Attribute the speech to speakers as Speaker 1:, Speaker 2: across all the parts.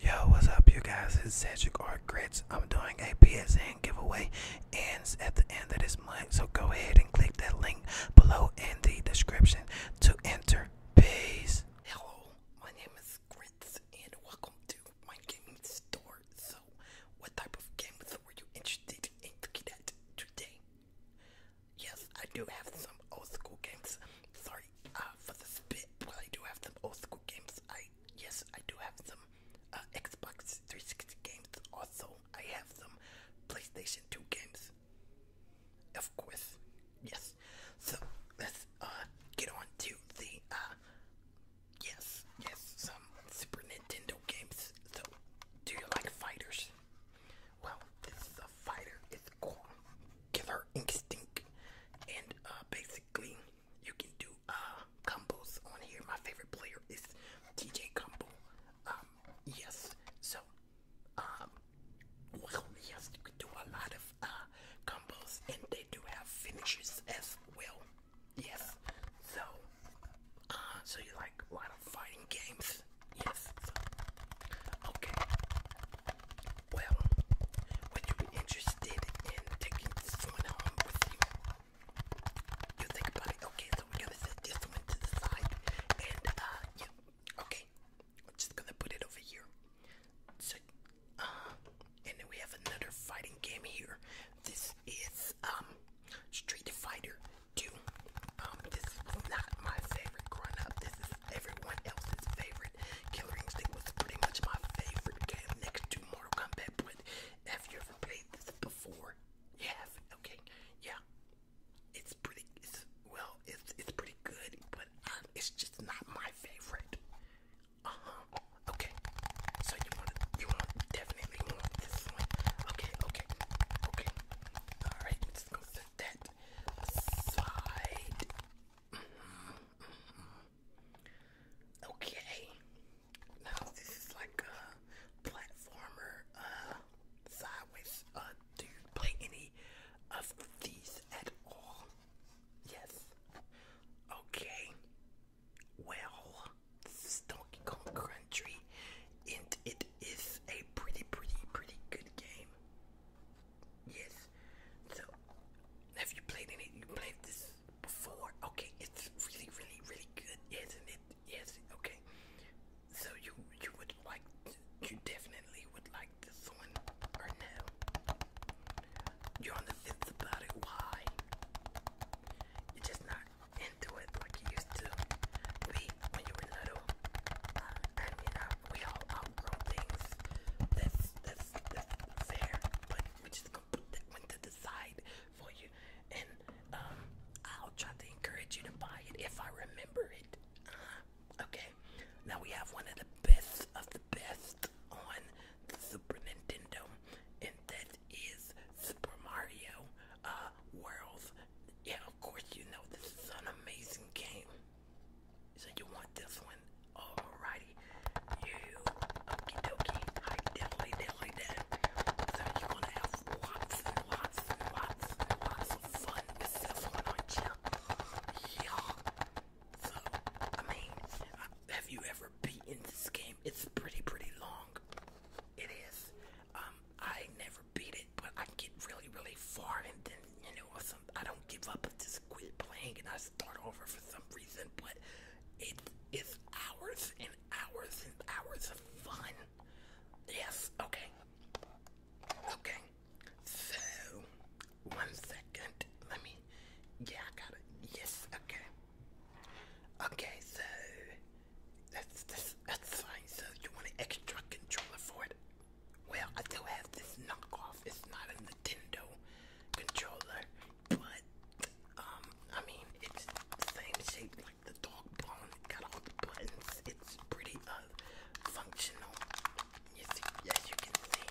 Speaker 1: Yo, what's up, you guys? It's Cedric Art Grits. I'm doing a PSN giveaway. Ends at the end of this month, so go ahead and click that link below in the description to enter. Peace. Hello, my name is Grits, and welcome to my game store. So, what type of games were you interested in today? Yes, I do have some old school games. Sorry sorry uh, for the spit. Well, I do have some old school games. I yes, I do have some uh, Xbox 360 games. Also, I have some PlayStation 2 games. Of course, yes. So let's uh, get on to the uh, yes, yes, some Super Nintendo games. So, do you like fighters? Well, this is a fighter is called Instinct, and uh, basically you can do uh, combos on here. My favorite player is TJ Combo. Um, yes, so um, well, yes, you can do a lot of uh, combos, and they do have finishes as well. Yes, so uh, so you like a lot of fighting games? Yes. Okay. Well, when you're interested in taking someone home with you, you think about it. Okay, so we're gonna set this one to the side, and uh, yeah, okay, I'm just gonna put it over here. So, uh, and then we have another fighting game here. This is um, Street Fighter 2. Um, this is not my favorite growing up everyone else's favorite. Killer Instinct was pretty much my favorite game next to Mortal Kombat. But have you ever played this before? You Okay. Yeah. It's pretty, well, it's, it's pretty good, but um, it's just not my favorite. Uh-huh. Okay. So you want, you want, definitely want this one. Okay, okay, okay. Alright, let's go set that aside. Mm-hmm. Okay. Now this is like a platformer. Uh, sideways. Uh, do you play any of these at all? Yes. Okay. Well, this is Donkey Kong Country, and it is a pretty, pretty, pretty good game. Yes. So, have you played any? You played this before? Okay, it's really, really, really good, isn't it? Yes. Okay. So you you would like you definitely would like this one or no? You're on the fence about it. You're just not into it like you used to be when you were little. Uh, I we all outgrow things. That's that's that's fair, we just gonna put for you. And um, I'll try to encourage you to buy it if I remember it. Uh-huh. okay. Now we have one of the best of the best on the Super Nintendo, and that is Super Mario uh, World. Yeah, of course you know this is an amazing game. So you want this one? Alrighty. You okie dokie. I definitely, definitely So you're to have lots and lots and lots and lots of fun with this one, aren't you? Yeah. I mean, have you ever beaten this game? It's pretty, pretty long. It is. Um, I never beat it, but I get really, really far and then, you know, I don't give up at this quit playing and I start over for some reason, but it is hours and hours and hours of fun. Yes, okay. Okay. So one second. Let me yeah, I got it. Yes, okay. Okay, so that's that's fine. So you want an extra controller for it? Well, I do have this knockoff. It's not a Nintendo controller, but um, I mean, it's same shape like the dog bone. Got all the buttons. It's pretty uh functional. You see, you can see,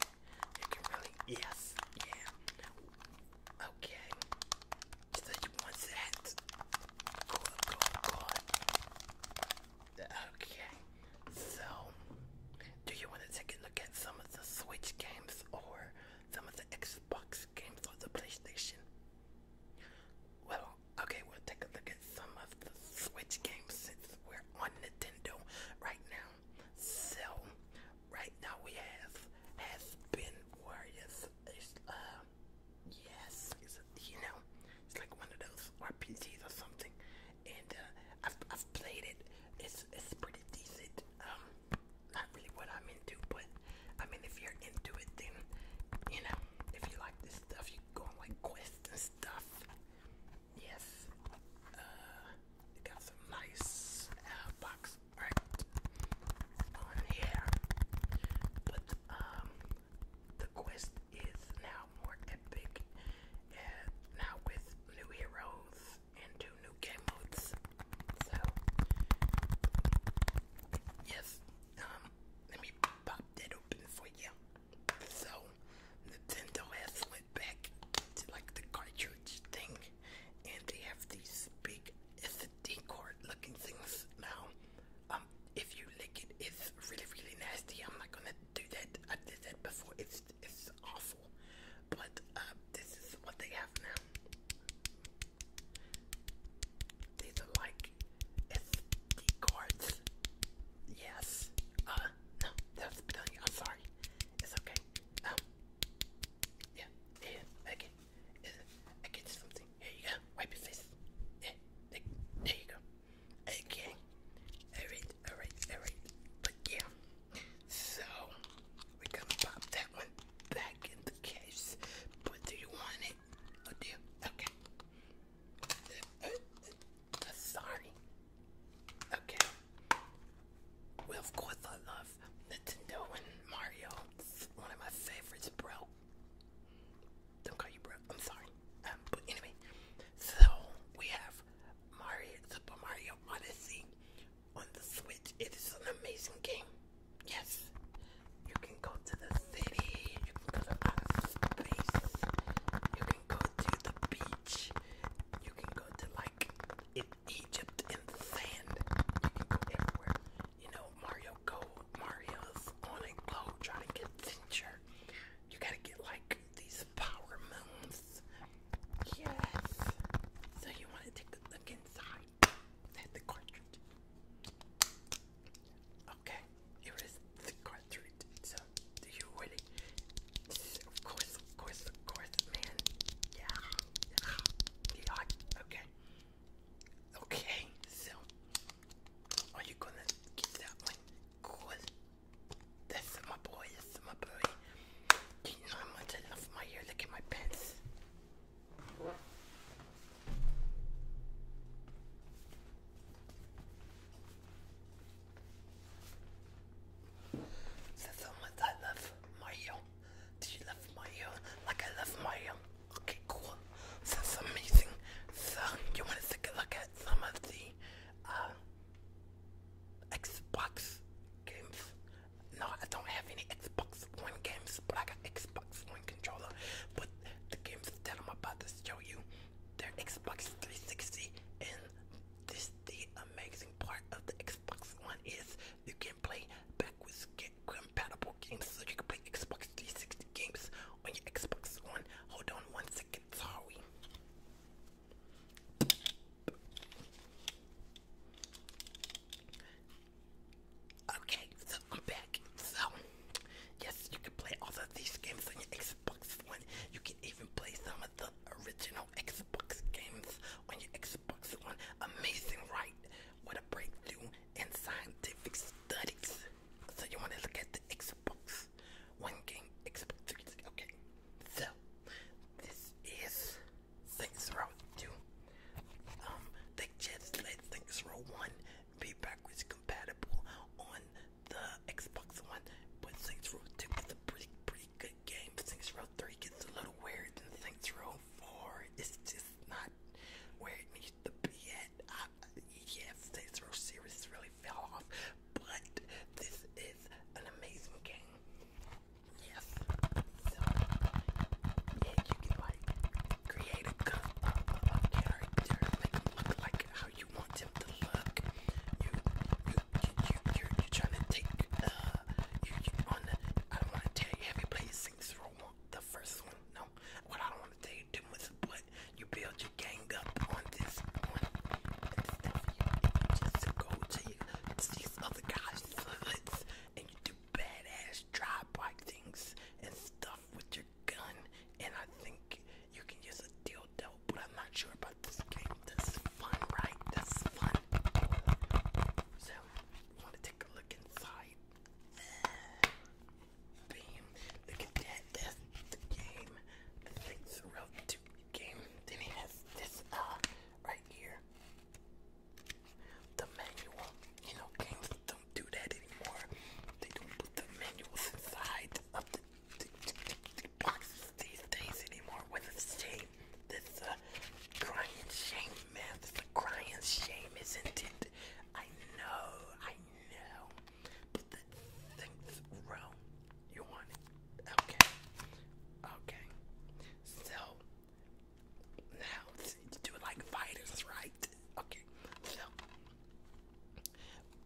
Speaker 1: you can really yes, yeah. Okay, so you want that? Cool, cool, cool. Okay, so do you want to take a look at some of the Switch games or some of the Xbox games or the PlayStation? Well, okay, we'll take a look at some of the Switch games since we're on Nintendo right now. So, right now we have Has Been Warriors. Uh, yes, you know, it's like one of those RPGs or something, and uh, I've I've played it. It's it's pretty decent. Um, not really what I'm into, but I mean, if you're into it, then you know, if you like this stuff, you go on like quests and stuff. Yes, uh, got some nice uh, box art on here, but um. The quest is now more epic and now with new heroes and two new game modes. So, yes, um, let me pop that open for you. So, Nintendo has went back to like the cartridge thing, and they have these big SD card looking things now. Um, if you lick it, it's really, really nasty. I'm not gonna do that. I did that before. It's it's awful, but uh, this is what they have now. These are like SD cards. Yes. Uh, no, that's Bedelia. I'm sorry. It's okay. Um, yeah, yeah, I I get something. Here you go. Wipe your face. there you go. Okay. Alright, alright, alright. But So we gonna pop that one back in the case. But do you want it? Oh Okay. Uh, uh, uh, sorry. Okay. Well, of course I love Nintendo and Mario. one of my favorites, bro. Don't call you bro. I'm sorry. Um, but anyway, so we have Mario Super Mario Odyssey on the Switch. It is an amazing game. Yes, you can go to the city, you can go to outer space, you can go to the beach, you can go to like in Egypt in the sand. You can go everywhere. You know, Mario go Mario's on a globe trying to get adventure. You gotta get like these power moons. Yes. So you want to take a look inside at the cartridge. Okay, here is the cartridge. So, do you ready? Of course, of course, of course, man. Yeah, Okay. Okay, so are you gonna get that one? Cool. This is my boy, this is my boy. Do you know I love my hair? Look at my pets. That's how much I love Mario. Do you love Mario? Like I love Mario. Okay, cool. That's amazing. So, you want to take a look at some of the uh, Xbox games. No, I don't have any Xbox One games, but I got Xbox One controller. But the games that I'm about to show you, they're Xbox 360, and this the amazing part of the Xbox One is you can play backwards compatible games, so you can play Xbox 360 games on your Xbox One. Hold on one second sorry. Okay, I'm back. So, yes, you can play all of these games on your Xbox One. You can even play some of the original Xbox games on your Xbox One. Amazing, right? What a breakthrough in scientific studies. So you want to look at the Xbox One game, Xbox 360. Okay, so this is Saints Row 2. Um, they just let Saints Row 1 be backwards compatible on the Xbox One, but Saints Row 2 is a pretty, pretty good game. Saints Row 3 gets a little weird, and Saints Row 4 is just not where it needs to be at yes, this series really fell off, but this is an amazing game. Yes. yeah, you can like create a cup of, make them look like how you want them to look. You, you, you, you, you you're trying to take, uh, you, you want I don't want to tell you, have you played Saints Row the first one? No. What I don't want to tell you too much, but you build your gang up on this one and stuff. You just go to these other guys' hoods and you do badass dry bike things and stuff with your gun. And I think you can use a dildo, but I'm not sure about this game. That's fun, right? That's fun. So, want to take a look inside? theme. Look at that. That's the game. The things relevant to the game. Then he has this uh right here. The manual. You know, games don't do that anymore. They don't put the manuals inside of the, the, the, the boxes these days anymore. With a shame. This uh crying shame, man. This uh, crying shame, isn't it? I know, I know. But the sixth row, you want it. Okay. Okay. So, now, you do it like fighters, right? Okay. So,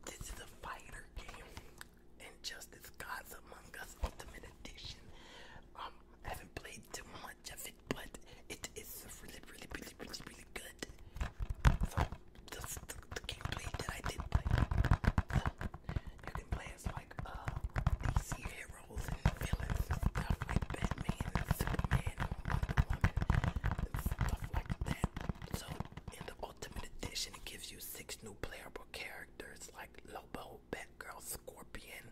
Speaker 1: this is a fighter game. And Justice Gods Among Us Ultimate Edition. Um, haven't played too much of it, but it is really, really, really, really, really good. So just the, the that I did play. you can play as like DC uh, heroes and villains stuff like Batman Superman Wonder Woman stuff like that. So in the Ultimate Edition it gives you six new playable characters like Lobo, Batgirl, Scorpion,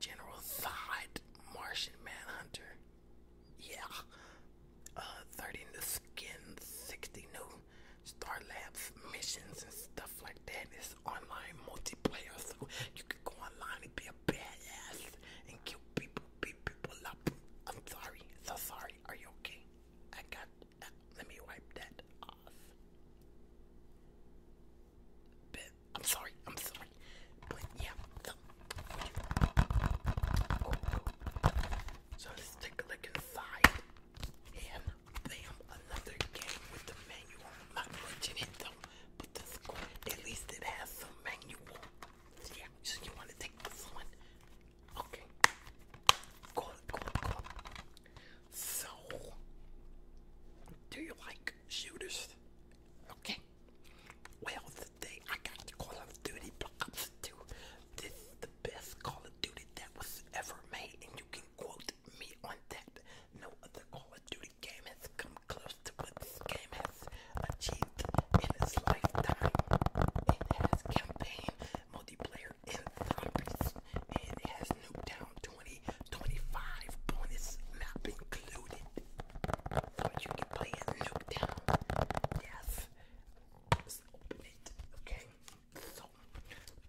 Speaker 1: General Zod, Martian Manhunter, yeah. Uh, 30 in the skin, 60 new Star Labs missions and stuff like that. It's online multiplayer, so you can go online and be a badass and kill people, beat people up. I'm sorry, so sorry. Are you okay? I got. Uh, let me wipe that off. I'm sorry. I'm sorry. But yeah. so let take a look inside. And damn, another game with the manual. I'm not watching but at least it has some manual. Yeah, so you want to take this one? Okay. Cool, cool, cool. So, do you like shooters? Okay. Well, I got the Call of Duty Black Ops 2. This is the best Call of Duty that was ever made, and you can quote me on that. No other Call of Duty game has come close to what this game has achieved in its lifetime. It has campaign, multiplayer, and zombies, and it has Nuketown 2025 bonus map included. So you can play in Nuketown. Yes, Okay. So,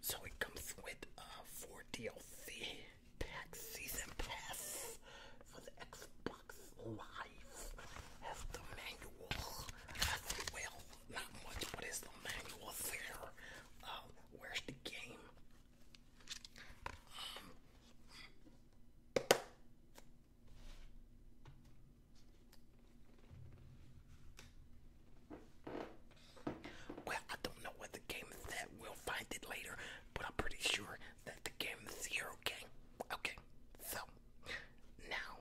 Speaker 1: so it comes with a uh, four DLC pack season pass for the Xbox Live. Has the manual as well. Not much, but it's the manual there. Uh, where's the game? Um, well, I don't know what the game is that. We'll find it later, but I'm pretty sure that the game is here, okay? Okay, so now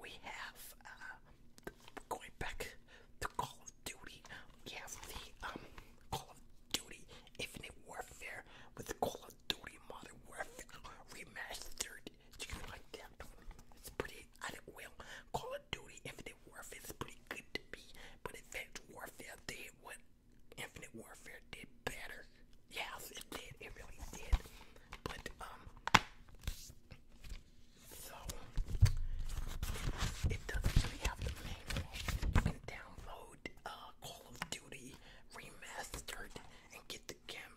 Speaker 1: we have, uh, going back to Call of Duty, we the, um, Call of Duty Infinite Warfare with Call of Duty Modern Warfare Remastered you can like that. It's pretty, I did well, Call of Duty Infinite Warfare is pretty good to me, but Advanced Warfare did what Infinite Warfare did better. Yes, it did, it really did. But, um, so, it doesn't really have the manual. You can download uh, Call of Duty Remastered and get the game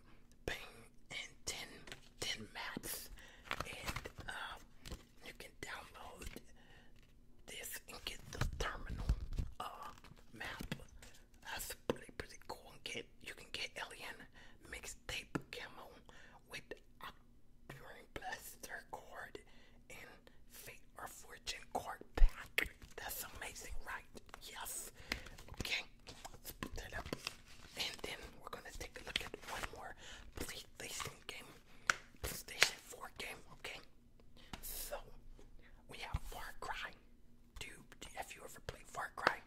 Speaker 1: and Tin Tin and uh, you can download this and get the terminal uh, map. That's pretty pretty cool. And get you can get Alien mixtape camo with Octarian Blaster Cord and Fate or Fortune Cord pack. That's amazing, right? Yes. Okay. And then we're gonna take a look at one more PlayStation game. PlayStation 4 game, okay? So we have Far Cry. Do have you ever played Far Cry?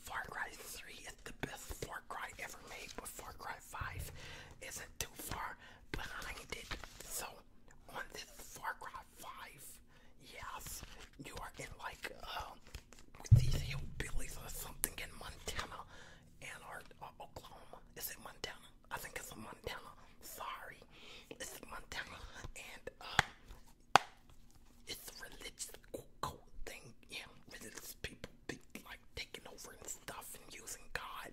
Speaker 1: Far Cry 3 is the best Far Cry ever made, but Far Cry 5 isn't too far behind it. So on this Far Cry five. Yes, you are in like um with these hillbillies or something in Montana and or uh, Oklahoma. Is it Montana? I think it's Montana. Sorry, it's Montana, and uh, it's a religious cult thing. Yeah, religious people be like taking over and stuff and using God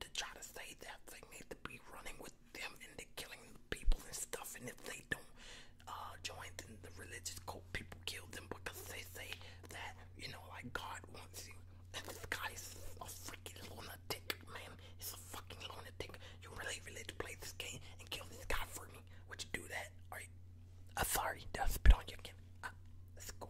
Speaker 1: to try to save that. They need to be running with them and they're killing people and stuff. And if they don't uh, join, then the religious cult people kill them because they say that, you know, like God wants you. And this guy is a freaking lunatic, man. He's a fucking lunatic. You really, really to play this game and kill this guy for me. Would you do that? Are you? Uh, sorry, did I spit on you again? Uh, let's go.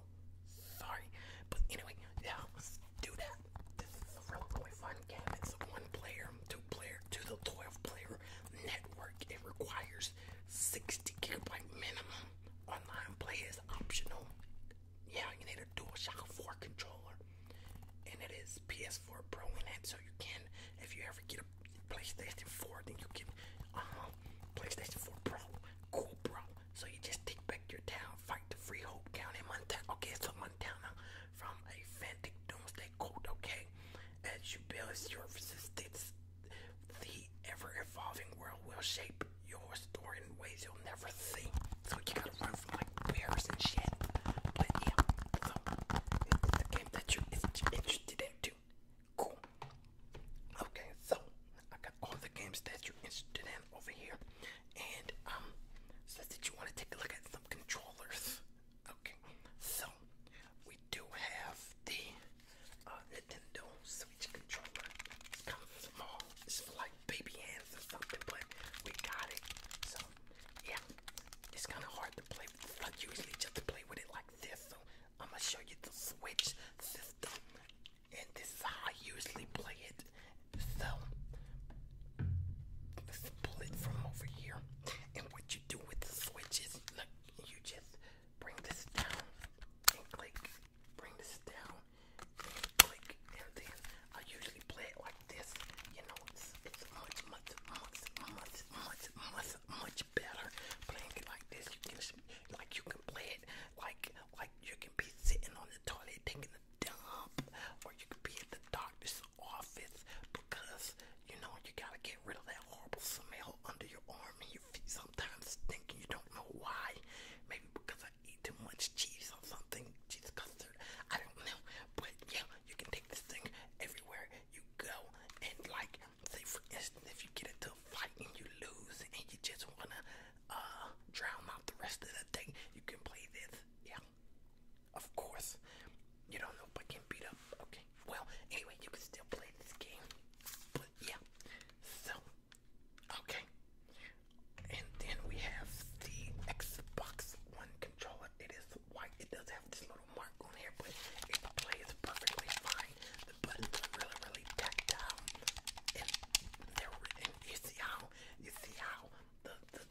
Speaker 1: Sorry. But anyway, yeah, let's do that. This is a really, really fun game. It's a one player, two player, two to 12 player network. It requires 60 gigabyte minimum. Online play is optional. Yeah, you need a DualShock 4 controller. And it is PS4 Pro in it, so you can, if you ever get a PlayStation 4, then you can, uh huh, PlayStation 4 Pro, cool, bro. So you just take back your town, fight the Freehold County, Montana. Okay, so Montana, from a Doomsday Cult, okay? As you build your resistance, the ever evolving world will shape your story in ways you'll never see. So you gotta run from like bears and shit. But yeah, so it's the game that you're interested in too. Cool. Okay, so I got all the games that you're interested in over here. And um, says that you want to take a look at some controllers. Okay, so we do have the uh, Nintendo Switch controller. It's kind of small. It's like baby hands or something, but we got it. So yeah, it's kind of hard to play. With. usually just play with it like this. So I'm gonna show you the Switch system, and this is how I usually play it. So let's pull it from over here, and what you you do with the switches. you just bring this down and click. Bring this down and click. I usually play it like this. You know, it's, much, much, much, much, much, much, much better playing it like this. like you can play it like, like you can be sitting on the toilet taking a dump, or you can be at the doctor's office because you know you gotta get rid of that horrible smell under your arm and your feet sometimes thinking you don't know why. Maybe because I eat too much cheese or something, cheese custard. I don't know. But yeah, you can take this thing everywhere you go and like say for instance if you get into a fight and you lose and you just wanna uh, drown out the rest of the thing, you can play this. Yeah. Of course. You don't know, but get beat up. Okay. Well, anyway, you can still play this game. But yeah. So, okay. And then we have the Xbox One controller. It is white. It does have this little mark on here, but it plays perfectly fine. The buttons are really, really tactile. And, they're, and you how, you see how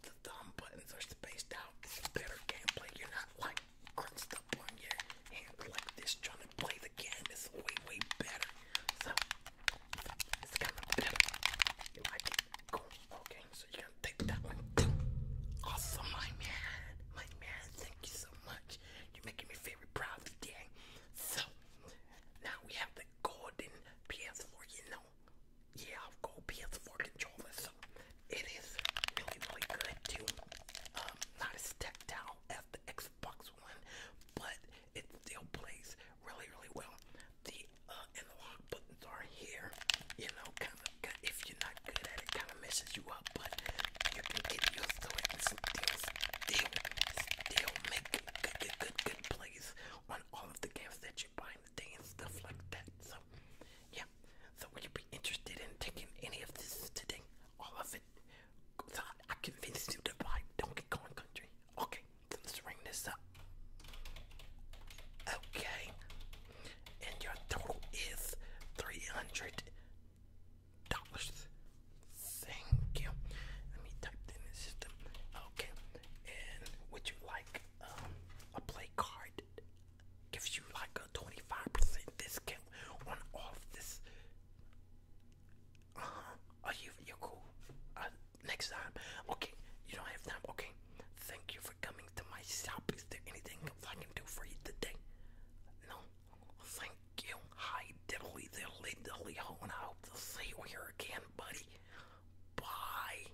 Speaker 1: the, thumb buttons are spaced out. It's better gameplay. You're not like crunched up on your hand like this trying to play the game. It's way, way better. So, it's kind of better. You like it? Cool. Okay, so you're gonna take that one too. Awesome, my man. My man, thank you so much. You're making me very proud today. So, now we have the golden PS4 yeah, I'll go PS4 controller. So it is really, really good too. Um, not as stepped out as the Xbox One, but it still plays really, really well. The uh, hot buttons are here. You know, kind of if you're not good at it, kind of messes you up, but you can get your to and good, good, good, good plays on all of the games that you buy in the and stuff like that. So, yeah, Instagram. So would you be interested in taking any of this today? All of it? So I convinced you to buy Donkey Kong Country. Okay, let's ring this up. Okay, and your total is three hundred dollars. Thank you. Let me type in the system. Okay, and would you like um, a play card? gives you like a 25% discount on all of this. Uh huh. Are you, you cool. Uh, next time. Okay, you don't have time. Okay, thank you for coming to my shop. Is there anything I can do for you today? No, thank you. Hi, diddly diddly diddly I hope to see you here again, buddy. Bye.